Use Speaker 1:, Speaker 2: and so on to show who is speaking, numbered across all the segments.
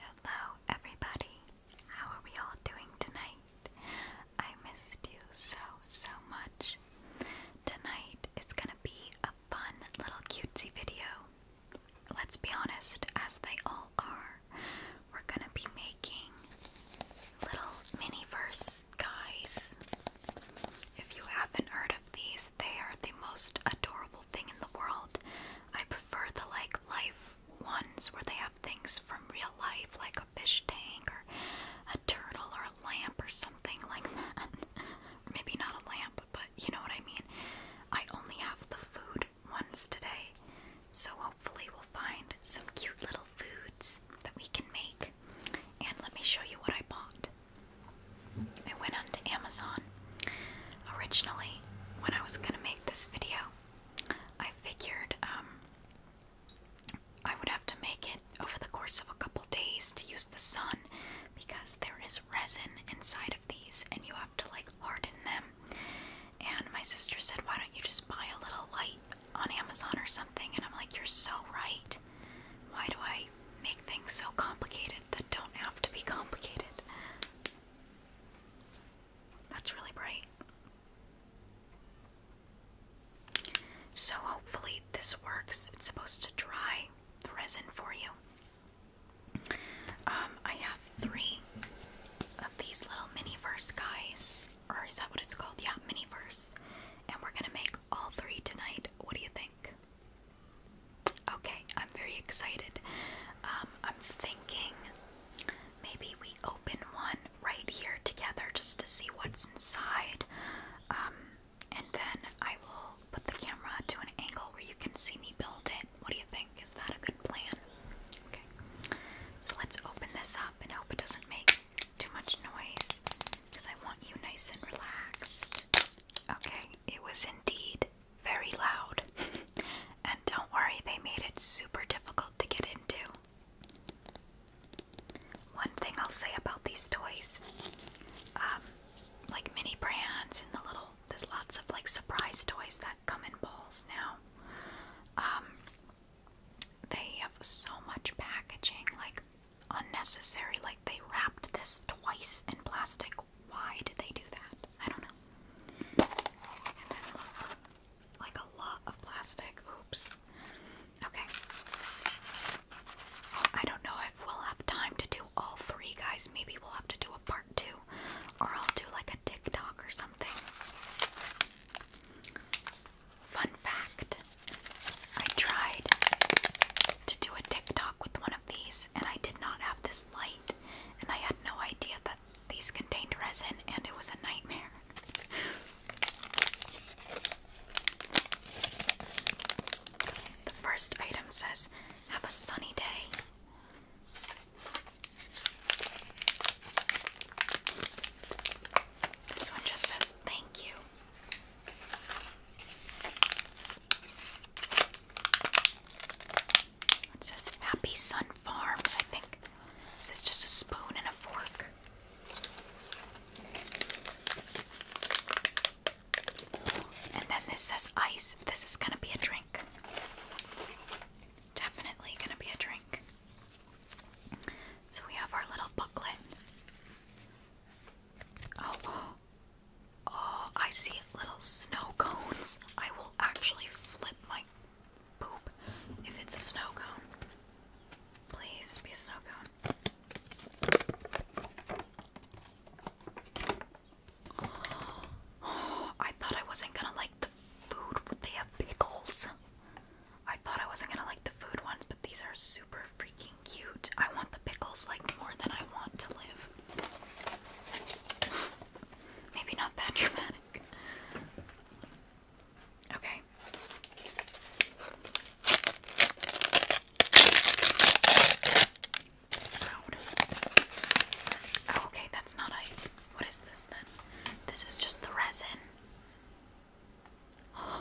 Speaker 1: Hello, everybody. How are we all doing tonight? I missed you so, so much. Tonight is gonna be a fun little cutesy video. Let's be honest, as they all are, we're gonna be making little mini-verse guys. If you haven't heard of these, they are the most adorable thing in the world. I prefer the like life ones where they have things from real life, like a fish tank or a turtle or a lamp or something like that. Maybe not a lamp, but you know what I mean. I only have the food ones today, so hopefully we'll find some cute little foods that we can make. And let me show you what I bought. I went onto Amazon Originally, when I was gonna make this video, I figured um, I would have to make it over the course of a couple days to use the sun because there is resin inside of these and you have to like harden them. And my sister said, Why don't you just buy a little light on Amazon or something? And I'm like, You're so right. Why do I make things so complicated that don't have to be complicated? That's really bright. So, hopefully, this works. It's supposed to dry the resin for you. Um, I have three of these little mini-verse guys, or is that what it's called? Yeah, mini-verse. And we're gonna make all three tonight. What do you think? Okay, I'm very excited. Um, I'm thinking maybe we open one right here together just to see what's inside. Um, and then I will put the camera to an angle where you can see me build it. What do you think? Is that a good plan? Okay. So let's open this up and hope it doesn't make too much noise because I want you nice and relaxed. Okay, it was indeed very loud. and don't worry, they made it super difficult to get into. One thing I'll say about these toys, um, like mini brands and the little, there's lots of like surprise toys that come in balls now. Um, they have so much packaging, like unnecessary. Like they wrapped this twice in plastic why did they do that? I don't know. And then look, like a lot of plastic. Oops. Okay. Oh, I don't know if we'll have time to do all three, guys. Maybe we'll have to do a part two, or I'll do like a TikTok or something. Fun fact I tried to do a TikTok with one of these, and I did not have this light, and I had no idea these contained resin and it was a nightmare. the first item says, Have a sunny day. This one just says, Thank you. It says Happy Sun Farms, I think. Is this just a spoon and a fork? And then this says ice. This is gonna be a drink. Definitely gonna be a drink. So we have our little booklet. Oh, oh, I see little snow cones. I will actually flip my poop if it's a snow cone. Please be a snow cone. I thought I wasn't gonna like the food. They have pickles. I thought I wasn't gonna like the food ones, but these are super freaking cute. I want the pickles like more than I want to live. Maybe not that dramatic. Okay. Oh, okay, that's not ice. What is this then? This is just the resin.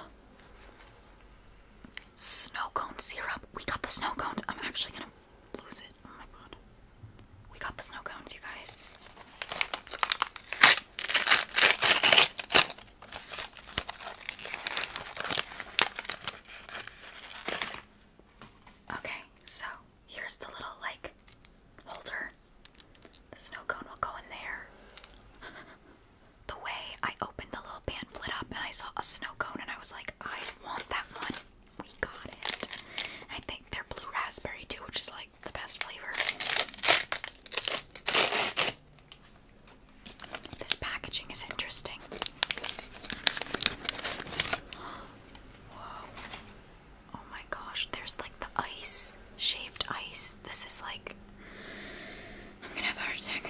Speaker 1: Snow cone syrup. We got the snow cones. I'm actually gonna lose it. Oh my god. We got the snow cones, you guys. Okay, so here's the little like holder. The snow cone will go in there. the way I opened the little pamphlet up and I saw a snow cone and I was like, I want that one we got it. I think they're blue raspberry too, which is like the best flavor. This packaging is interesting. Whoa. Oh my gosh, there's like the ice, shaved ice. This is like. I'm gonna have a heart attack.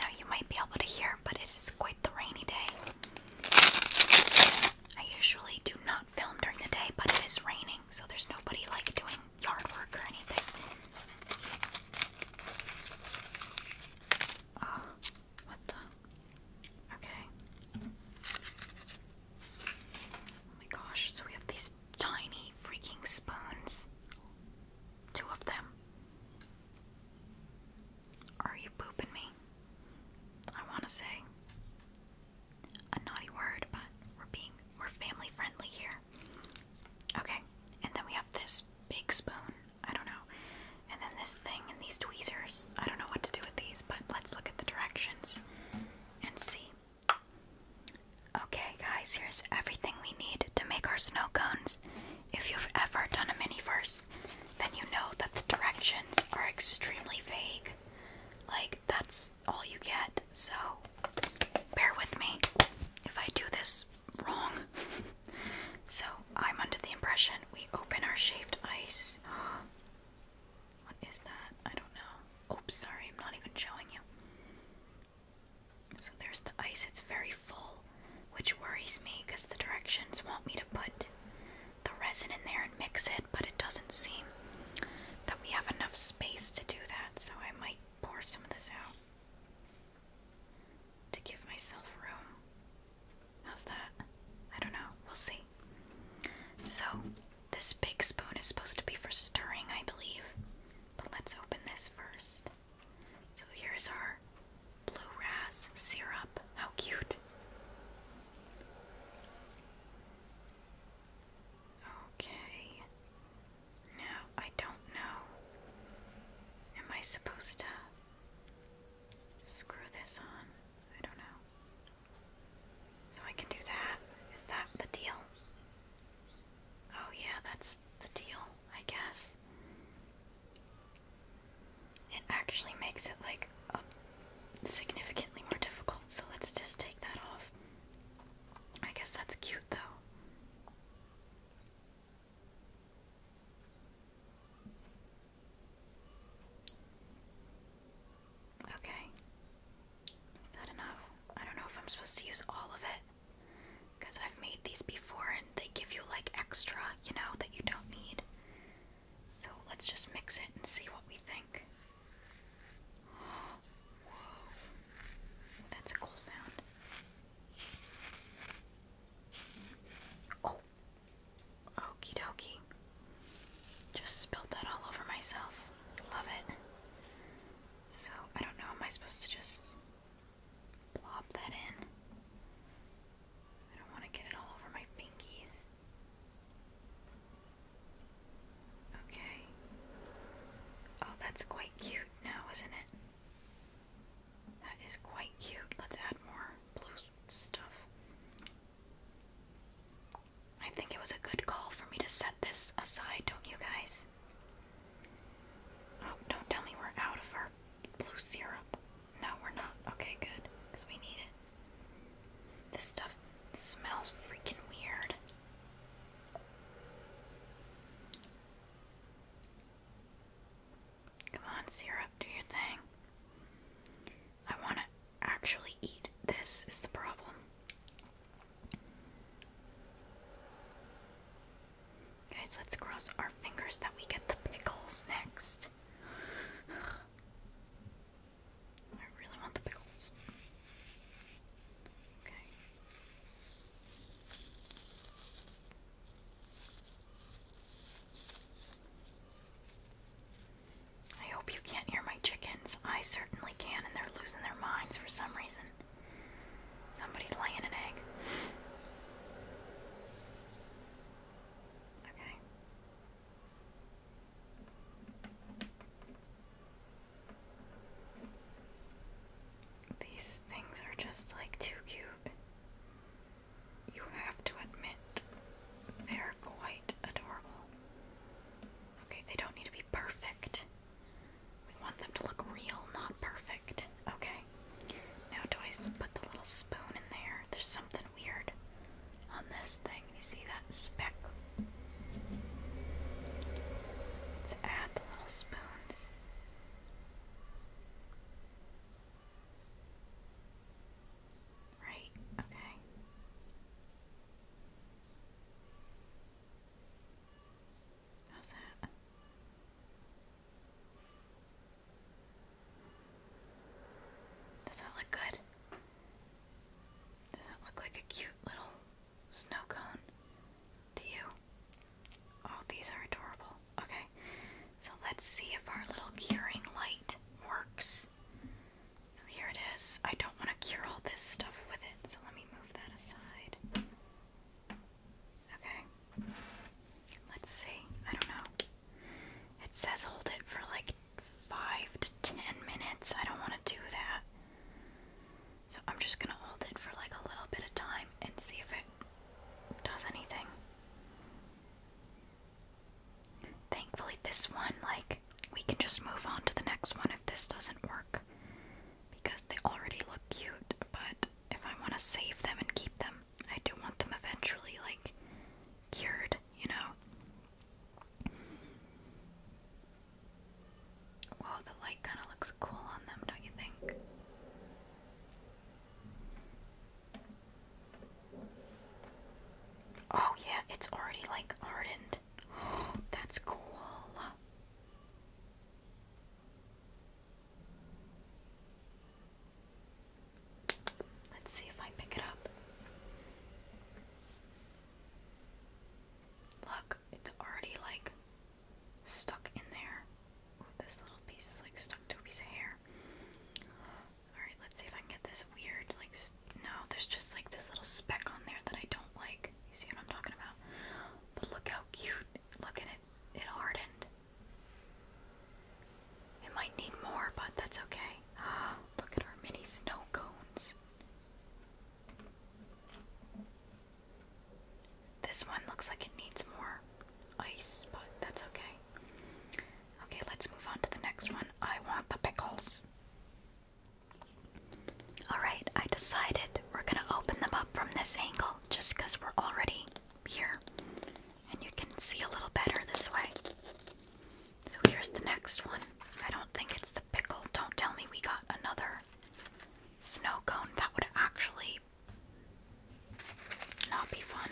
Speaker 1: Now you might be able to hear, but it is quite the rainy day. I usually do not film during the day, but it is raining, so there's nobody like doing yard work or anything. Oh, what the? Okay. Oh my gosh, so we have these tiny freaking spoons. Two of them. Are you pooping me? I want to say a naughty word, but we're being we're family friendly here. Okay, and then we have this big spoon. I don't know, and then this thing and these tweezers. I don't know what to do with these, but let's look at the directions and see. Okay, guys, here's everything we need to make our snow cones. If you've ever done a mini-verse, then you know that the directions are extremely vague. Like, that's all you get, so bear with me if I do this wrong. so, I'm under the impression we open our shaved ice. what is that? I don't know. Oops, sorry, I'm not even showing you. So, there's the ice, it's very full, which worries me because the directions want me to put the resin in there and mix it, but it doesn't seem that we have enough space to do that, so I might pour some of this out to give myself room. How's that? I don't know. We'll see. So, this big spoon is supposed to be for stirring, I believe. But let's open this first. So, here is our blue ras syrup. How cute. Okay. Now I don't know. Am I supposed to screw this on? I don't know. So I can do that. Is that the deal? Oh yeah, that's the deal, I guess it actually makes it like significantly more difficult, so let's just take that off. I guess that's cute though. Okay. Is that enough? I don't know if I'm supposed to use all of it. Because I've made these before and they give you like extra, you know, that you don't need. So let's just mix it and see what we think. Whoa. That's a cool sound. Oh. Okie dokie. Just spilled that all over myself. Love it. So, I don't know, am I supposed to just plop that in? I don't want to get it all over my pinkies. Okay. Oh, that's quite cute now, isn't it? That is quite cute. Let's add more blue stuff. I think it was a good call for me to set this aside, don't you guys? Oh, don't tell me we're out of our blue syrup. No, we're not. Okay, good. Because we need it. This stuff smells freaking weird. Come on, syrup, do your thing. I want to actually eat. This is the problem. Guys, let's cross our fingers that we get the pickles next. I really want the pickles. Okay. I hope you can't hear my chickens. I certainly can, and they're losing their minds for some reason. Somebody's laying an egg. Okay. These things are just like too cute. You have to admit, they are quite adorable. Okay, they don't need to be perfect. We want them to look real, not perfect. Okay. Now, do put the little spoon in there? There's something weird on this thing. You see that speck? Let's add the little spoons. Right, okay. How's that? Does that look good? Does that look like a cute little snow cone to you? Oh, these are adorable. Okay, so let's see if our little curing light works. So here it is. I don't want to cure all this stuff with it, so let me move that aside. Okay, let's see. I don't know. It says hold it for like five to ten minutes. I don't want to do that. So I'm just gonna hold it for like a little bit of time and see if it does anything. Thankfully, this one, like, we can just move on to the next one if this doesn't work. Because they already look cute, but if I want to save them and keep them, I do want them eventually, like, cured, you know? Wow, the light kind of looks cool on them, don't you think? Oh, yeah, it's already like hardened. That's cool. Let's see if I pick it up. Look, it's already like stuck in there. this little piece is like stuck to a piece of hair. Alright, let's see if I can get this weird, like, no, there's just like this little speck on there that I don't like. You see what I'm talking about? But look how cute. Look at it. It hardened. It might need more, but that's okay. Ah, look at our mini snow cones. This one looks like it needs more ice, but that's okay. Okay, let's move on to the next one. I want the pickles. Alright, I decided we're gonna open them up from this angle just we're already here. And you can see a little better this way. So here's the next one. I don't think it's the pickle. Don't tell me we got another snow cone. That would actually not be fun.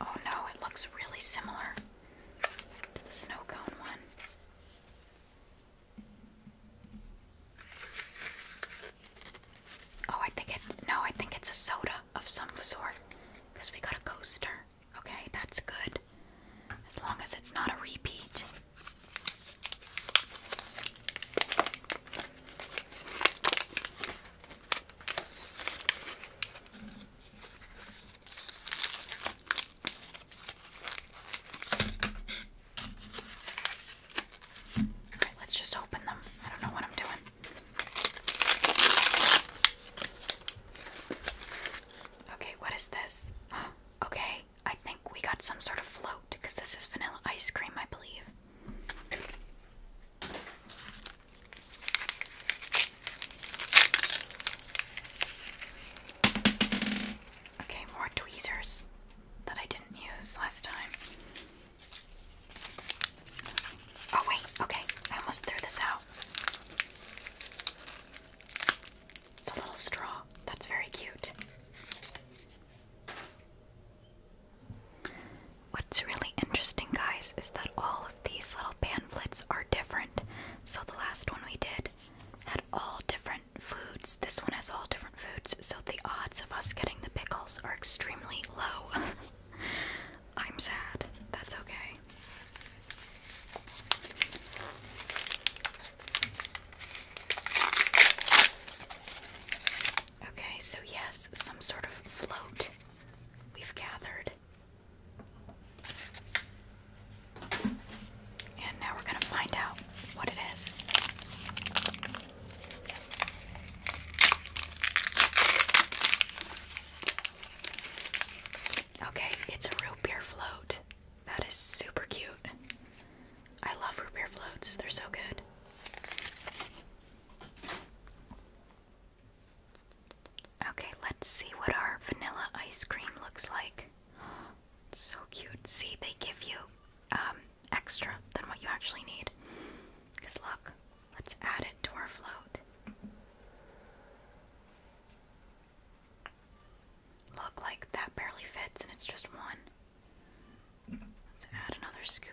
Speaker 1: Oh no, it looks really similar to the snow cone one. Oh, I think it. No, I think it's a soda of some sort. Because we got a coaster. Okay, that's good. As long as it's not a repeat. All right, let's just open them. I don't know what I'm doing. Okay, what is this? Oh, okay, I think we got some sort of float because this is vanilla ice cream, I believe. Okay, more tweezers that I didn't use last time oh wait, okay, I almost threw this out. It's a little straw. That's very cute. What's really interesting, guys, is that all of these little pamphlets are different. So the last one we did had all different foods. This one has all different foods, so the odds of us getting the pickles are extremely low. I'm sad. That's okay. Okay, so yes, some sort of float we've gathered. And now we're going to find out what it is. Okay, it's a root beer float. That is super cute. I love root beer floats, they're so good. Okay, let's see what our vanilla ice cream looks like. So cute. See, they give you um, extra than what you actually need. Because look, Let's add it to our float. Look like that barely fits and it's just one. Let's add another scoop.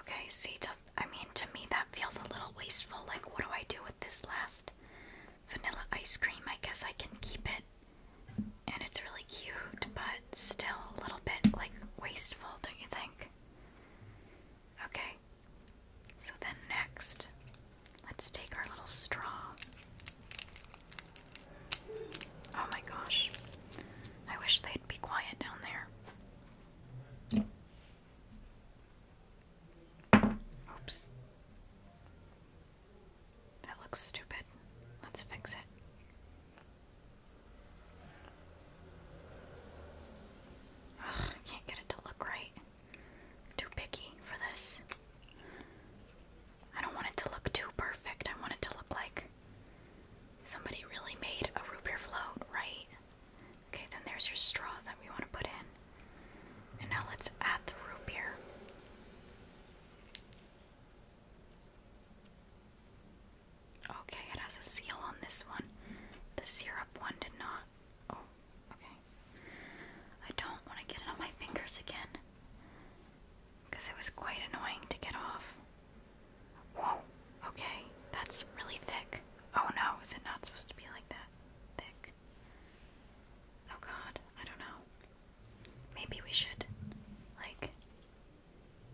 Speaker 1: Okay, see, I mean, to me that feels a little wasteful. Like, what do I do with this last vanilla ice cream? I guess I can keep it and it's really cute, but still a little bit like wasteful, don't you think? Okay, so then next, let's take our little straw. Oh my gosh, I wish they'd be quiet down there. Oops. That looks stupid. Let's fix it. I can't get it to look right. am too picky for this. I don't want it to look too perfect. I want it to look like somebody really made a root beer float, right? Okay, then there's your straw that we want to put in. And now let's add the root beer. Okay, it has a seal on this one. The syrup one did not. Oh, okay. I don't want to get it on my fingers again. Because it was quite annoying to get off. Whoa, okay. That's really thick. Oh no, is it not supposed to be like that? Thick. Oh god, I don't know. Maybe we should, like,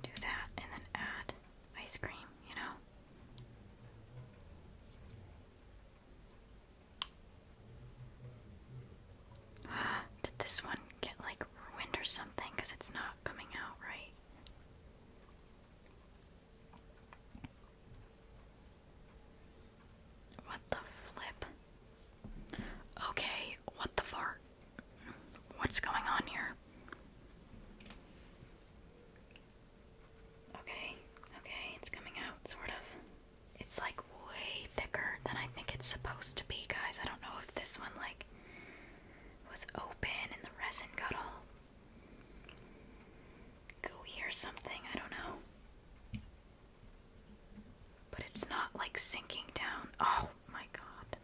Speaker 1: do that and then add ice cream, you know? Did this one get like ruined or something? Because it's not coming out right. What the flip? Okay, what the fart? What's going on here? Okay, okay, it's coming out, sort of. It's like way thicker than I think it's supposed to be, guys. I don't know if this one, like, was open and the resin got all gooey or something. I don't know. But it's not like sinking down. Oh, my god.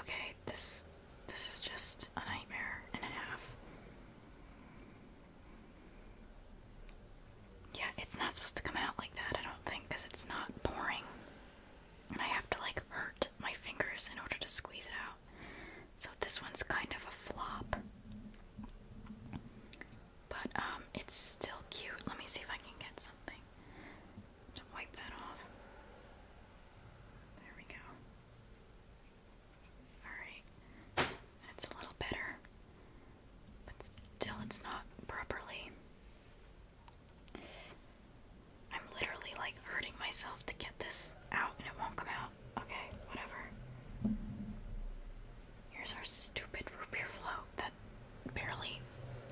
Speaker 1: Okay, this this is just a nightmare and a half. Yeah, it's not supposed to come out like that, I don't think, because it's not pouring. And I have to like hurt my fingers in order to squeeze it out. So this one's kind of a flop. But um it's still cute. Let me see if I can get something to wipe that off. There we go. Alright, that's a little better, but still it's not properly. I'm literally like hurting myself to get this out and it won't come out. Okay, whatever. Here's our stupid root beer float that barely,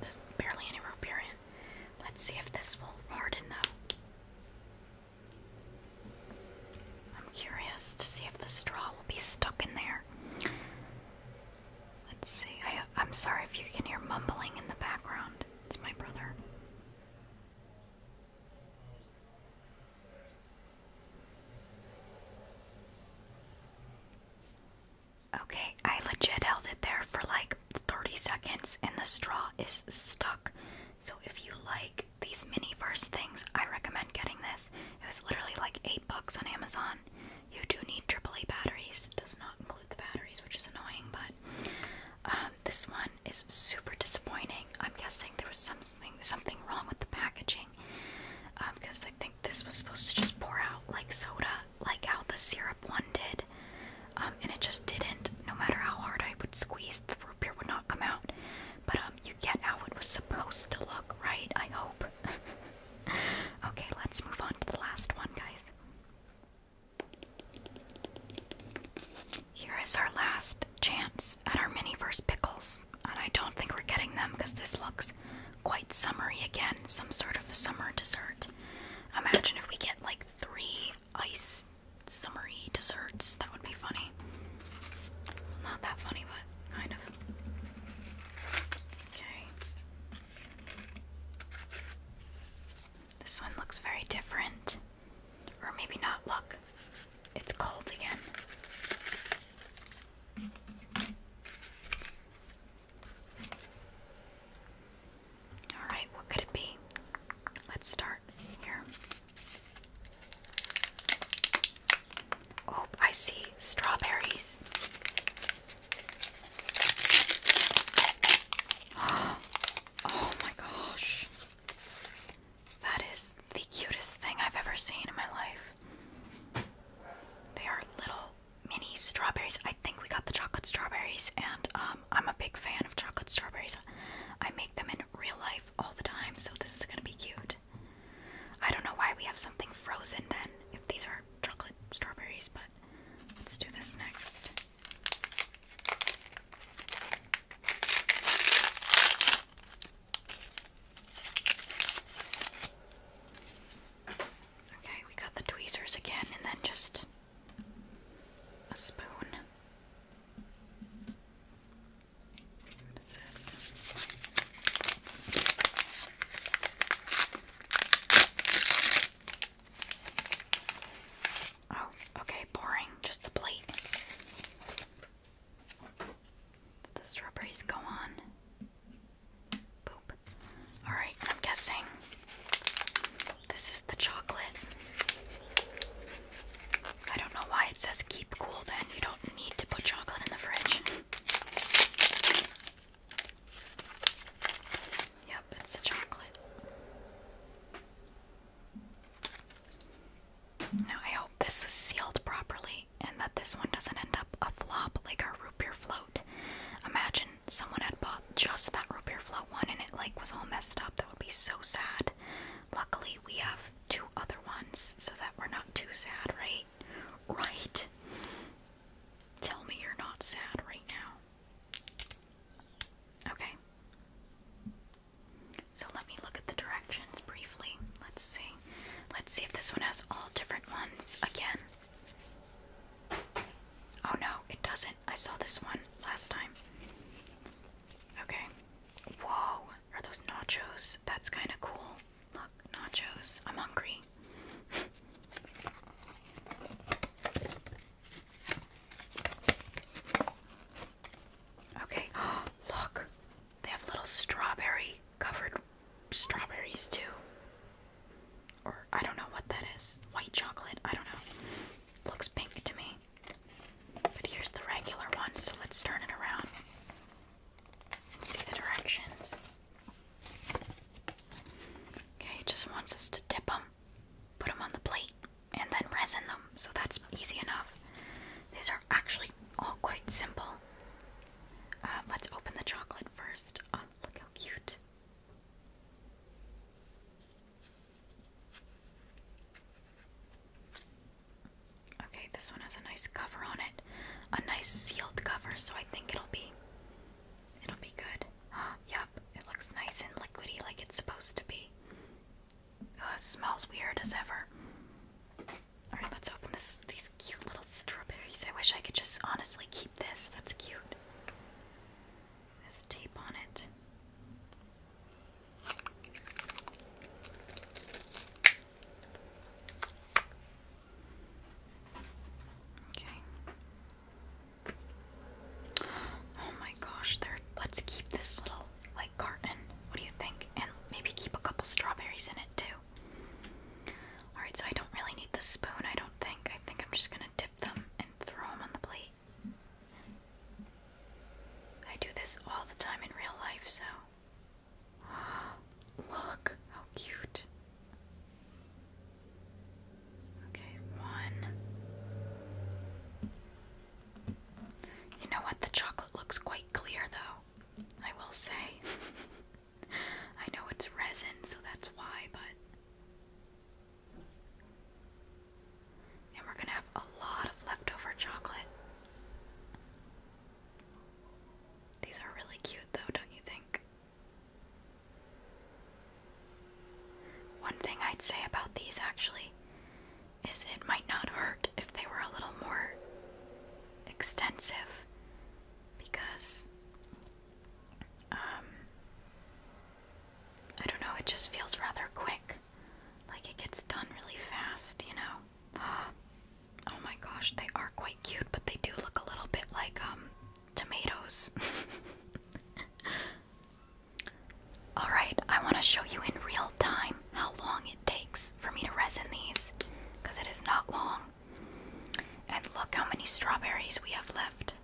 Speaker 1: there's barely any Rupirian. Let's see if this will harden though. I'm curious to see if the straw will be stuck in there. Let's see. I'm sorry if you can hear mumbling in the background. It's my brother. Okay, I legit held it there for like 30 seconds and the straw is stuck. So if you like these mini verse things, I recommend getting this. It was literally like 8 bucks on Amazon. You do need AAA batteries. It does not include the batteries, which is annoying, but um, this one is super disappointing. I'm guessing there was something something wrong with the packaging because um, I think this was supposed to just pour out like soda like how the syrup one did, um, and it just didn't. No matter how hard I would squeeze, the root beer would not come out. But um, you get how it was supposed to look, right? I hope. okay, let's move on to the last one, guys. Here is our last chance at our mini verse pickles, and I don't think we're getting them because this looks quite summery again, some sort of summer dessert. Imagine if we get like three ice summery desserts. That would be funny. not that funny, but kind of. Okay. This one looks very different. Or maybe not. Look, it's cold again. Alright, what could it be? Let's start here. Oh, I see strawberries. Oh my gosh. That is the cutest thing I've ever seen in my life. They are little mini strawberries. I think we got the chocolate strawberries, and um, I'm a big fan of chocolate strawberries. I make them in real life all the time, so this is gonna be cute. I don't know why we have something frozen then, if these are chocolate strawberries, but let's do this next. Okay, we got the tweezers again, and then just a spoon. What is this? Oh, okay, boring. Just the plate. the strawberries go on. Boop. Alright, I'm guessing this is the chocolate. I don't know why it says keep cool then. You don't need to put chocolate in the fridge. Yep, it's the chocolate. Now, I hope this was sealed properly and that this one doesn't end up a flop like our root beer float. Imagine someone had bought just that root beer float one and it like was all messed up. That would be so sad. Luckily, we have two other ones so that we're not too sad, right? Right? Tell me you're not sad right now. Okay. So let me look at the directions briefly. Let's see. Let's see if this one has all different ones again. Oh no, it doesn't. I saw this one last time. Okay. Whoa, are those nachos? That's kind of cool. Look, nachos. I'm hungry. okay. look. They have little strawberry covered strawberries too or I don't know what that is. White chocolate, I don't know. Looks pink to me. But here's the regular one, so let's turn it around and see the directions. Okay, it just wants us to dip them, put them on the plate, and then resin them, so that's easy enough. These are actually all quite simple. Uh, let's open the chocolate first. Oh, look how cute. Okay, this one has a nice cover on it. A nice sealed cover, so I think it'll be it'll be good. yep, it looks nice and liquidy like it's supposed to be. Oh, it smells weird as ever. Alright, let's open this these cute little strawberries. I wish I could just honestly keep this. That's cute has tape on it. Okay. Oh my gosh, there let's keep this little like carton. What do you think? And maybe keep a couple strawberries in it too. Alright, so I don't really need the spoon, I don't think. I think I'm just gonna dip them and throw them on the plate. I do this all the time in real life, so. Look, how cute. Okay, one. You know what? The chocolate looks quite clear, though, I will say. I know it's resin, so that's why, but and we're going to have a lot of leftover chocolate. These are really cute, though, don't you think? One thing I'd say about these actually is it might not hurt if they were a little more extensive because um, I don't know, it just feels rather quick. Like it gets done really fast, you know? Oh my gosh, they are quite cute, but they do look a little bit like, um, tomatoes. Alright, I want to show you in real time how long it takes for me to resin these, because it is not long. And look how many strawberries we have left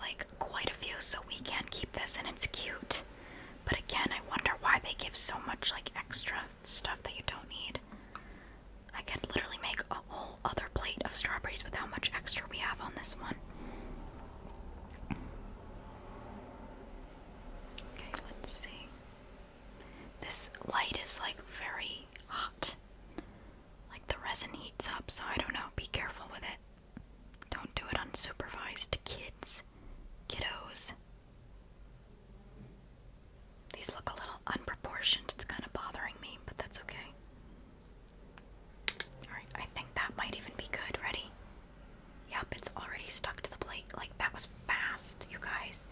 Speaker 1: like quite a few so we can keep this and it's cute but again i wonder why they give so much like extra stuff that you don't need i could literally make a whole other plate of strawberries with how much extra we have on this one okay let's see this light is like very hot like the resin heats up so i don't know be careful with it don't do it unsupervised, kids, kiddos. These look a little unproportioned. It's kind of bothering me, but that's okay. Alright, I think that might even be good. Ready? Yep, it's already stuck to the plate. Like, that was fast, you guys.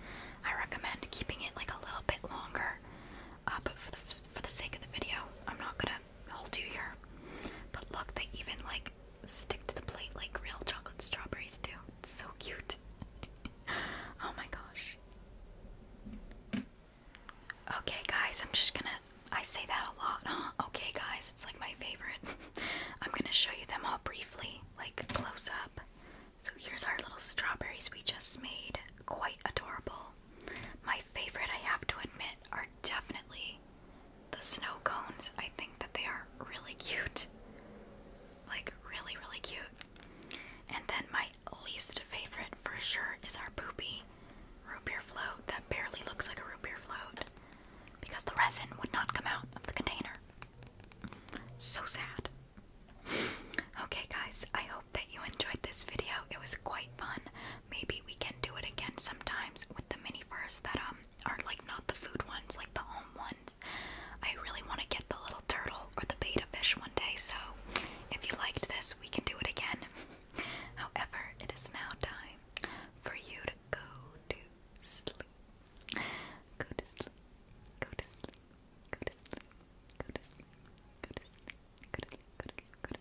Speaker 1: I recommend keeping it like a little bit longer, uh, but for the, for the sake of the video, I'm not gonna I'll do here. But look, they even like stick to the plate like real chocolate strawberries do. so cute. oh my gosh. Okay, guys, I'm just gonna. I say that a lot, huh? Okay, guys, it's like my favorite. I'm gonna show you them all briefly, like close up. So here's our little strawberries we just made. Quite adorable. My favorite, I have to admit, are definitely the snow cones. I think that they are really cute. Like, really, really cute. And then my least favorite, for sure, is our poopy root beer float that barely looks like a root beer float because the resin would not come out of the container. So sad. Okay, guys, I hope that you enjoyed this video. It was quite fun maybe we can do it again sometimes with the mini furs that um are like not the food ones, like the home ones. I really want to get the little turtle or the beta fish one day, so if you liked this, we can do it again. However, it is now time for you to go to sleep. Go to sleep. Go to sleep. Go to sleep. Go to sleep. Go to sleep. Go to sleep.